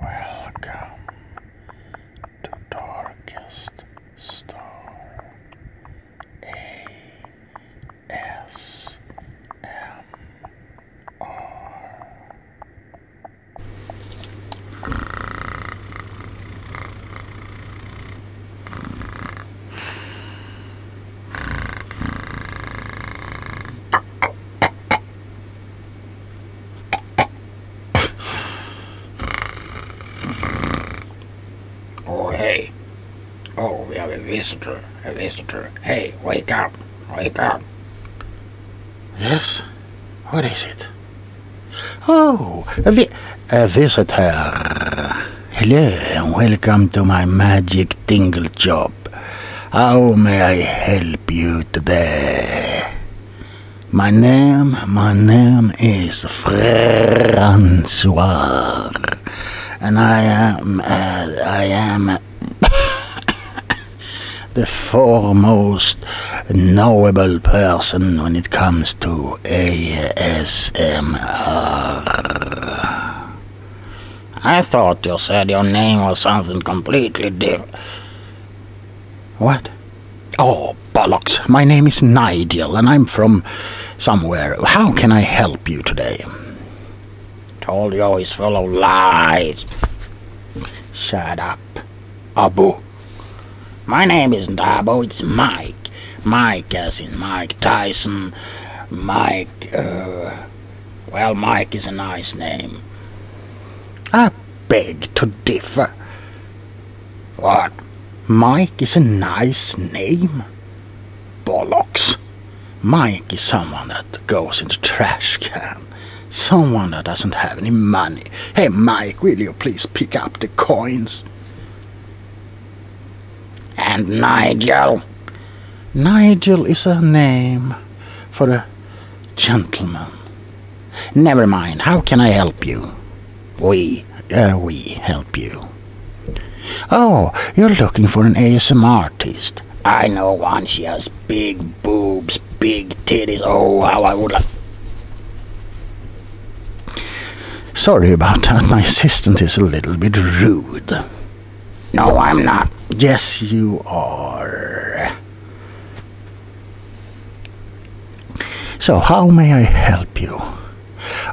Welcome to Darkest Star A S M R oh, hey. Oh, we have a visitor. A visitor. Hey, wake up. Wake up. Yes? What is it? Oh, a, vi a visitor. Hello and welcome to my magic tingle job. How may I help you today? My name, my name is Francois, and I am, uh, I am the foremost knowable person when it comes to ASMR. I thought you said your name was something completely different. What? Oh, bollocks. My name is Nigel, and I'm from somewhere. How can I help you today? Told you always full of lies. Shut up, Abu. My name isn't Abu, it's Mike. Mike, as in Mike Tyson. Mike, uh, well, Mike is a nice name. Ah, beg to differ. What? Mike is a nice name? Bollocks. Mike is someone that goes in the trash can. Someone that doesn't have any money. Hey Mike, will you please pick up the coins? And Nigel? Nigel is a name for a Gentlemen. Never mind, how can I help you? We, uh, we help you. Oh, you're looking for an ASM artist. I know one, she has big boobs, big titties, oh, how I would have... Sorry about that, my assistant is a little bit rude. No, I'm not. Yes, you are. So how may I help you?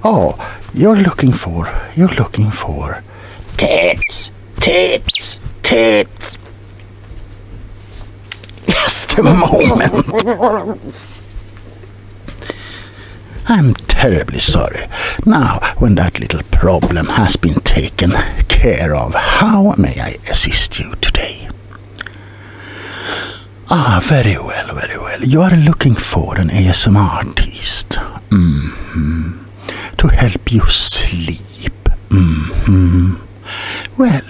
Oh, you're looking for, you're looking for tits, tits, tits. Just a moment. I'm terribly sorry. Now, when that little problem has been taken care of, how may I assist you today? Ah, very well, very well. You are looking for an ASMR artist mm-hmm. to help you sleep. -hmm. Well,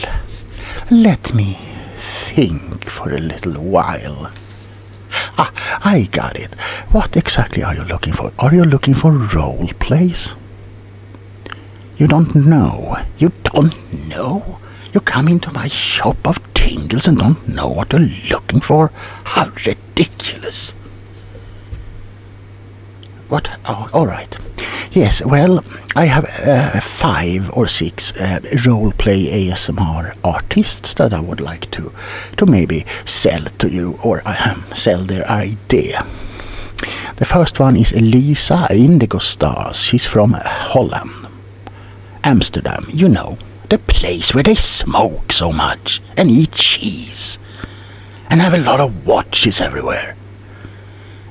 let me think for a little while. Ah, I got it. What exactly are you looking for? Are you looking for role plays? You don't know. You don't know. You come into my shop of tingles and don't know what you're looking for? How ridiculous. What? Oh, all right. Yes, well, I have uh, five or six uh, role play ASMR artists that I would like to, to maybe sell to you or I uh, sell their idea. The first one is Elisa Indigo Stars. She's from Holland. Amsterdam, you know, the place where they smoke so much and eat cheese and have a lot of watches everywhere.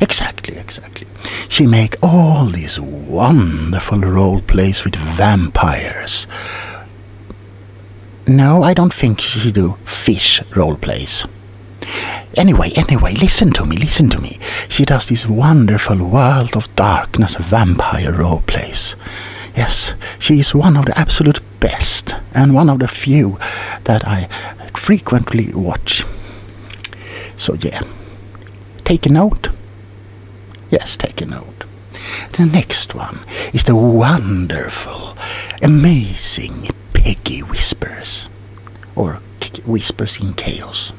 Exactly, exactly. She make all these wonderful role plays with vampires. No, I don't think she do fish role plays. Anyway, anyway, listen to me, listen to me. She does this wonderful World of Darkness vampire role plays. Yes, she is one of the absolute best and one of the few that I frequently watch. So, yeah, take a note. Yes, take a note. The next one is the wonderful, amazing Peggy whispers, or whispers in chaos.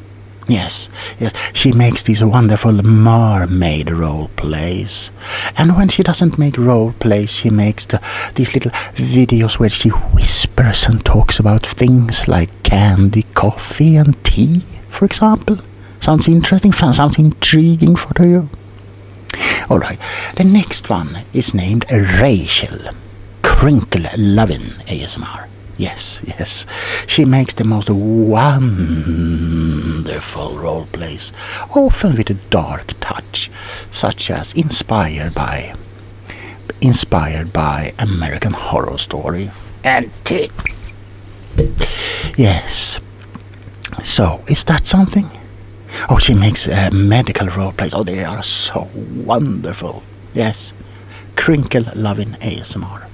Yes, yes, she makes these wonderful mermaid role plays. And when she doesn't make role plays, she makes these little videos where she whispers and talks about things like candy, coffee, and tea, for example. Sounds interesting, sounds intriguing for you. All right, the next one is named Rachel Crinkle Lovin ASMR. Yes, yes, she makes the most wonderful role plays, often with a dark touch, such as inspired by, inspired by American Horror Story and. Yes. So, is that something? Oh, she makes uh, medical role plays. Oh, they are so wonderful. Yes. Crinkle loving ASMR.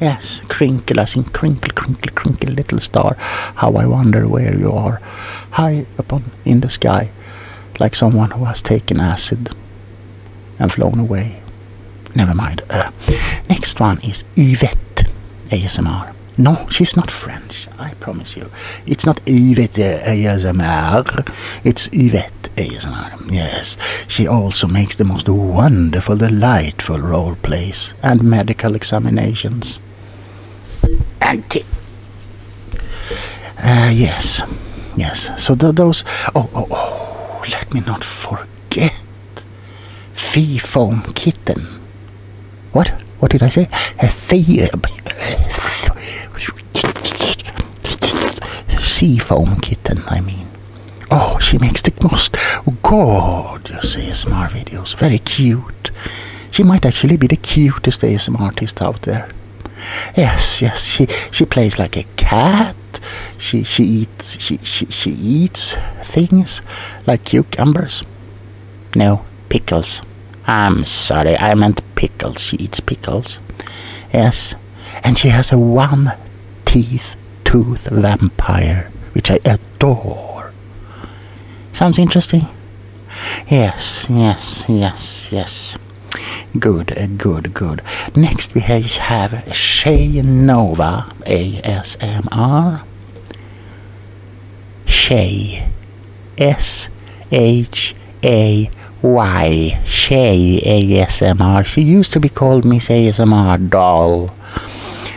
Yes, crinkle as in crinkle, crinkle, crinkle, little star. How I wonder where you are. High upon in the sky, like someone who has taken acid and flown away. Never mind. Uh, next one is Yvette ASMR. No, she's not French, I promise you. It's not Yvette ASMR, it's Yvette ASMR, yes. She also makes the most wonderful, delightful role plays and medical examinations. Auntie. Uh, yes, yes. So those. Oh, oh, oh. Let me not forget. Fee foam kitten. What? What did I say? Sea foam kitten, I mean. Oh, she makes the most you see, smart videos. Very cute. She might actually be the cutest ASMR artist out there. Yes, yes, she, she plays like a cat. She she eats she, she, she eats things like cucumbers. No, pickles. I'm sorry, I meant pickles. She eats pickles. Yes. And she has a one teeth tooth vampire, which I adore. Sounds interesting? Yes, yes, yes, yes. Good, good, good. Next we have Shay Nova ASMR. Shay S H A Y, Shay ASMR. She used to be called Miss ASMR Doll,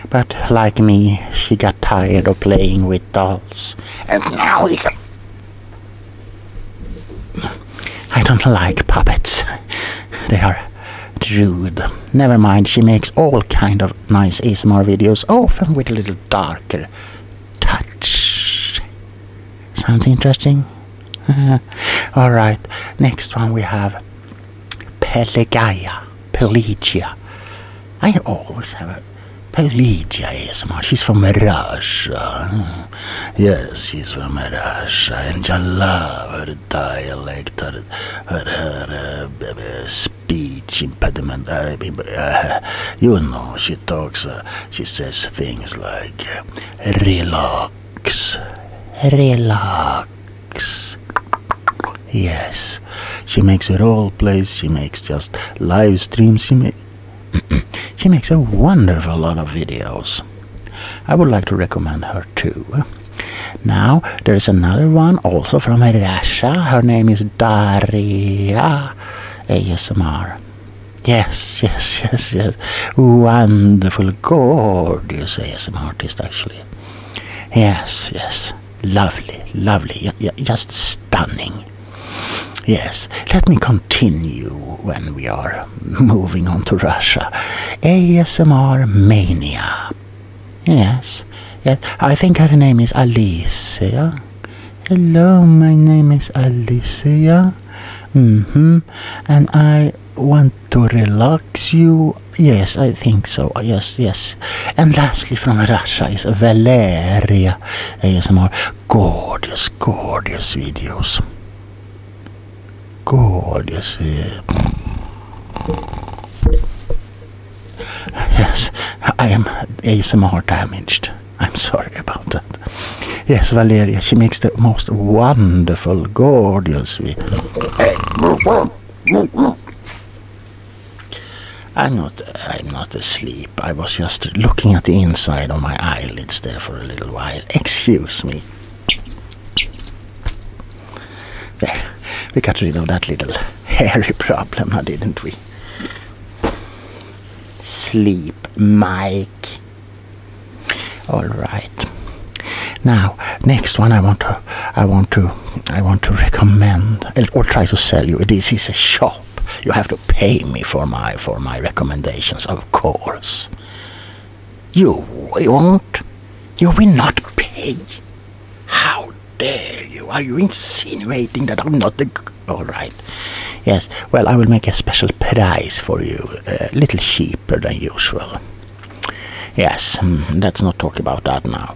but like me, she got tired of playing with dolls. And now we got... I don't like puppets. they are rude. Never mind, she makes all kind of nice ASMR videos, often with a little darker touch. Sounds interesting? Alright, next one we have Pelagia. Pelagia. I always have a Pelagia ASMR. She's from Russia. Yes, she's from Russia. And I love her dialect, her, her, her uh, speech impediment. I uh, you know, she talks, uh, she says things like, uh, relax, relax. Yes, she makes role plays, she makes just live streams, she, makes a wonderful lot of videos. I would like to recommend her too. Now, there's another one also from Russia. Her name is Daria. ASMR. Yes, yes, yes, yes. Wonderful, gorgeous ASMR artist, actually. Yes, yes. Lovely, lovely. Just stunning. Yes, let me continue when we are moving on to Russia. ASMR Mania. Yes, yes. I think her name is Alice. Hello, my name is Alicia. hmm And I want to relax you. Yes, I think so. Yes, yes. And lastly from Russia is Valeria ASMR. Gorgeous, gorgeous videos. Gorgeous. Yes, I am ASMR damaged. I'm sorry about that. Yes, Valeria, she makes the most wonderful, gorgeous. I'm not. I'm not asleep. I was just looking at the inside of my eyelids there for a little while. Excuse me. There, we got rid of that little hairy problem didn't we? sleep, Mike. All right. Now, next one I want to, I want to, I want to recommend or try to sell you. This is a shop. You have to pay me for my for my recommendations, of course. You won't. You will not pay. How dare you? Are you insinuating that I'm not the all right. Yes. Well, I will make a special price for you, a little cheaper than usual. Yes, hmm, let's not talk about that now.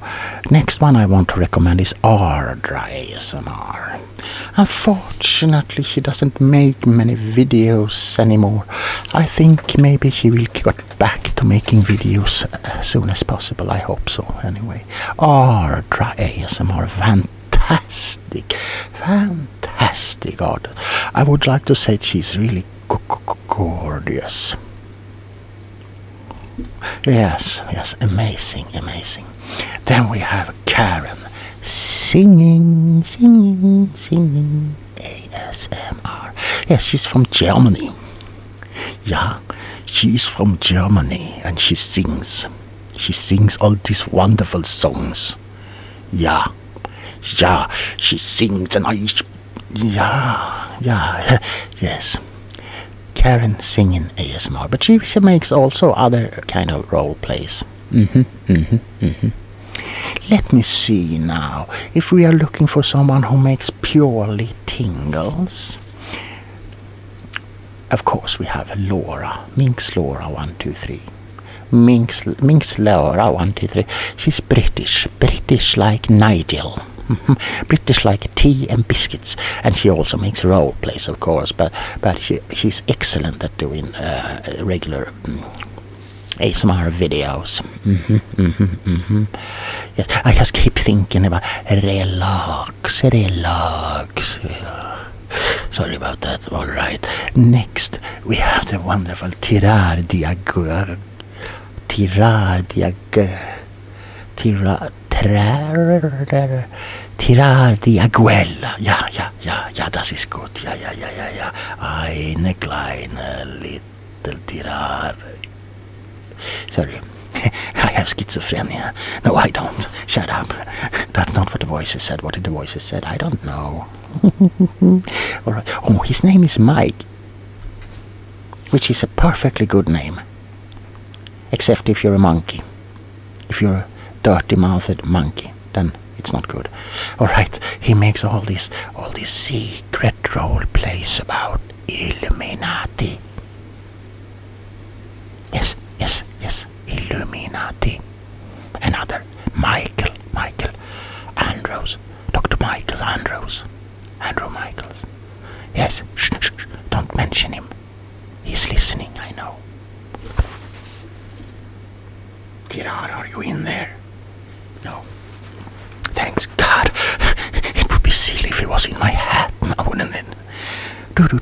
Next one I want to recommend is Ardra ASMR. Unfortunately, she doesn't make many videos anymore. I think maybe she will get back to making videos as soon as possible. I hope so, anyway. Ardra ASMR, fantastic, fantastic artist. I would like to say she's really gorgeous. Yes, yes, amazing, amazing. Then we have Karen singing, singing, singing ASMR. Yes, she's from Germany. Yeah, she's from Germany and she sings. She sings all these wonderful songs. Yeah, yeah, she sings and I. Yeah, yeah, yes. Karen singing ASMR, but she, she makes also other kind of role plays. Mm-hmm. Mm-hmm. Mm-hmm. Let me see now if we are looking for someone who makes purely tingles of course we have Laura, Minx Laura 123. Minx, Minx Laura 123. She's British, British like Nigel. British like tea and biscuits, and she also makes role plays, of course. But but she she's excellent at doing uh, regular mm, ASMR videos. -hmm, -hmm, -hmm. Yes, I just keep thinking about relax, relax drugs. Sorry about that. All right. Next, we have the wonderful Tirar Diagor. Tirar Diagor. Tirar. Tirar Diaguel. Ja, ja, ja, ja, das ist gut. Ja, ja, ja, ja, ja. Eine kleine, little Tirar. Sorry. I have schizophrenia. No, I don't. Shut up. That's not what the voices said. What did the voices said? I don't know. All right. Oh, his name is Mike, which is a perfectly good name, except if you're a monkey. If you're a dirty-mouthed monkey, then it's not good. All right. He makes all this, all these secret role plays about Illuminati. Yes, yes, yes. Illuminati. Another. Michael, Michael Andrews. Dr. Michael Andrews. Andrew Michaels. Yes, shh, shh, Don't mention him. He's listening, I know. Gerard, are you in there? No. Thanks God. it would be silly if it was in my hat now, wouldn't it? Do do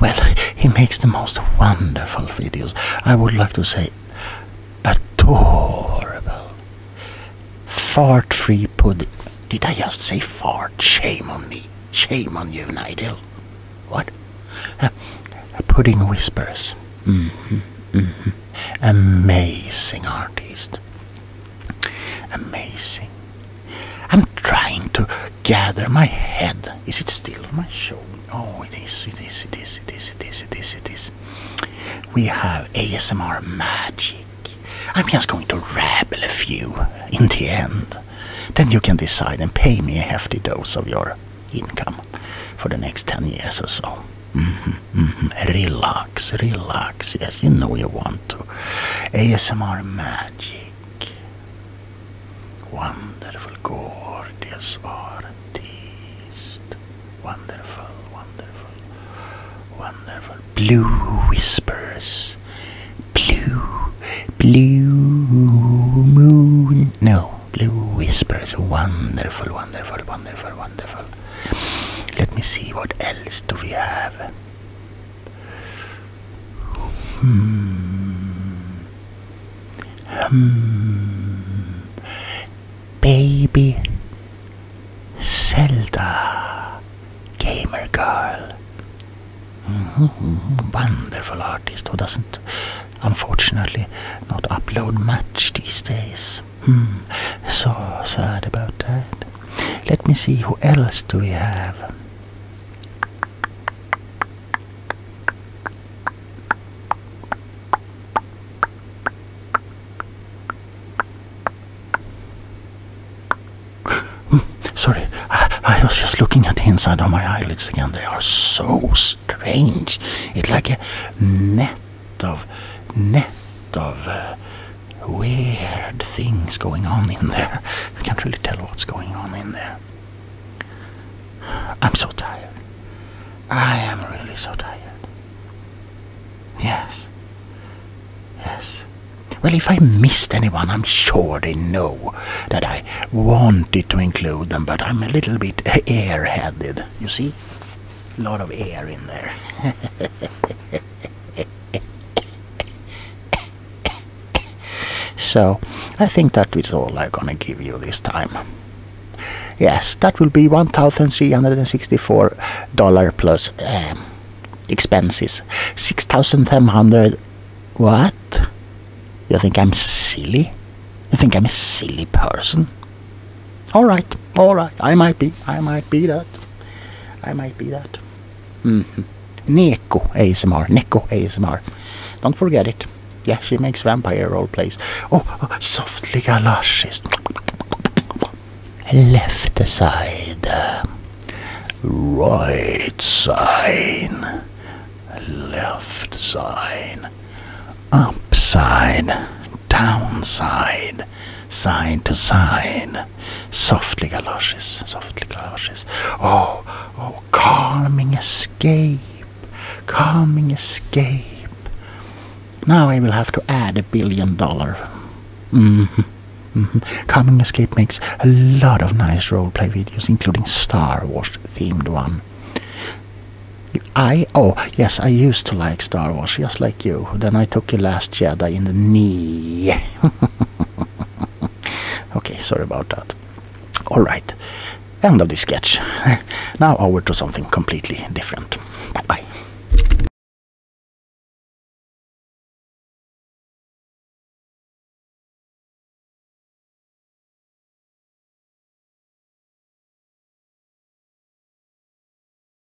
Well, he makes the most wonderful videos. I would like to say adorable. Fart free pudding. Did I just say fart? Shame on me. Shame on you, Nigel. What? Uh, pudding whispers. Mm -hmm, mm -hmm. Amazing artist. Amazing. I'm trying to gather my head. Is it still my show? Oh, it is, it is, it is, it is, it is, it is, it is. We have ASMR magic. I'm just going to ravel a few in the end. Then you can decide and pay me a hefty dose of your income for the next 10 years or so. Mm -hmm, mm -hmm. Rilla relax, relax. Yes, you know you want to. ASMR magic. Wonderful, gorgeous artist. Wonderful, wonderful, wonderful. Blue whispers. Blue, blue moon. No, blue whispers. Wonderful, wonderful, wonderful, wonderful. Let me see what else do we have. Hmm. Hmm. Baby Zelda Gamer Girl. Mm-hmm. Wonderful artist who doesn't, unfortunately, not upload much these days. Hmm. So sad about that. Let me see who else do we have. Hmm. Sorry, I, was just looking at the inside of my eyelids again. They are so strange. It's like a net of net of uh, weird things going on in there. I can't really tell what's going on in there. I'm so tired. I am really so tired. Yes. Yes. Well, if I missed anyone, I'm sure they know that I wanted to include them, but I'm a little bit air-headed. you see? A lot of air in there. so I think that is all I'm gonna give you this time. Yes, that will be $1,364 plus um, expenses. 6,700. What? You think I'm silly? You think I'm a silly person? All right, all right. I might be, I might be that. I might be that. Mm-hmm. Neko ASMR, Neko ASMR. Don't forget it. Yeah, she makes vampire role plays. Oh, softly, galoshes. Left side. Right side, Left side, upside. Downside, side, to side. Softly galoshes, softly galoshes. Oh, oh, calming escape, calming escape. Now I will have to add a billion dollar. Mm -hmm. Mm Calming Escape makes a lot of nice roleplay videos, including Star Wars themed one. I oh yes, I used to like Star Wars, just like you. Then I took last fascia in the knee. okay, sorry about that. All right, end of this sketch. now over to something completely different. bye.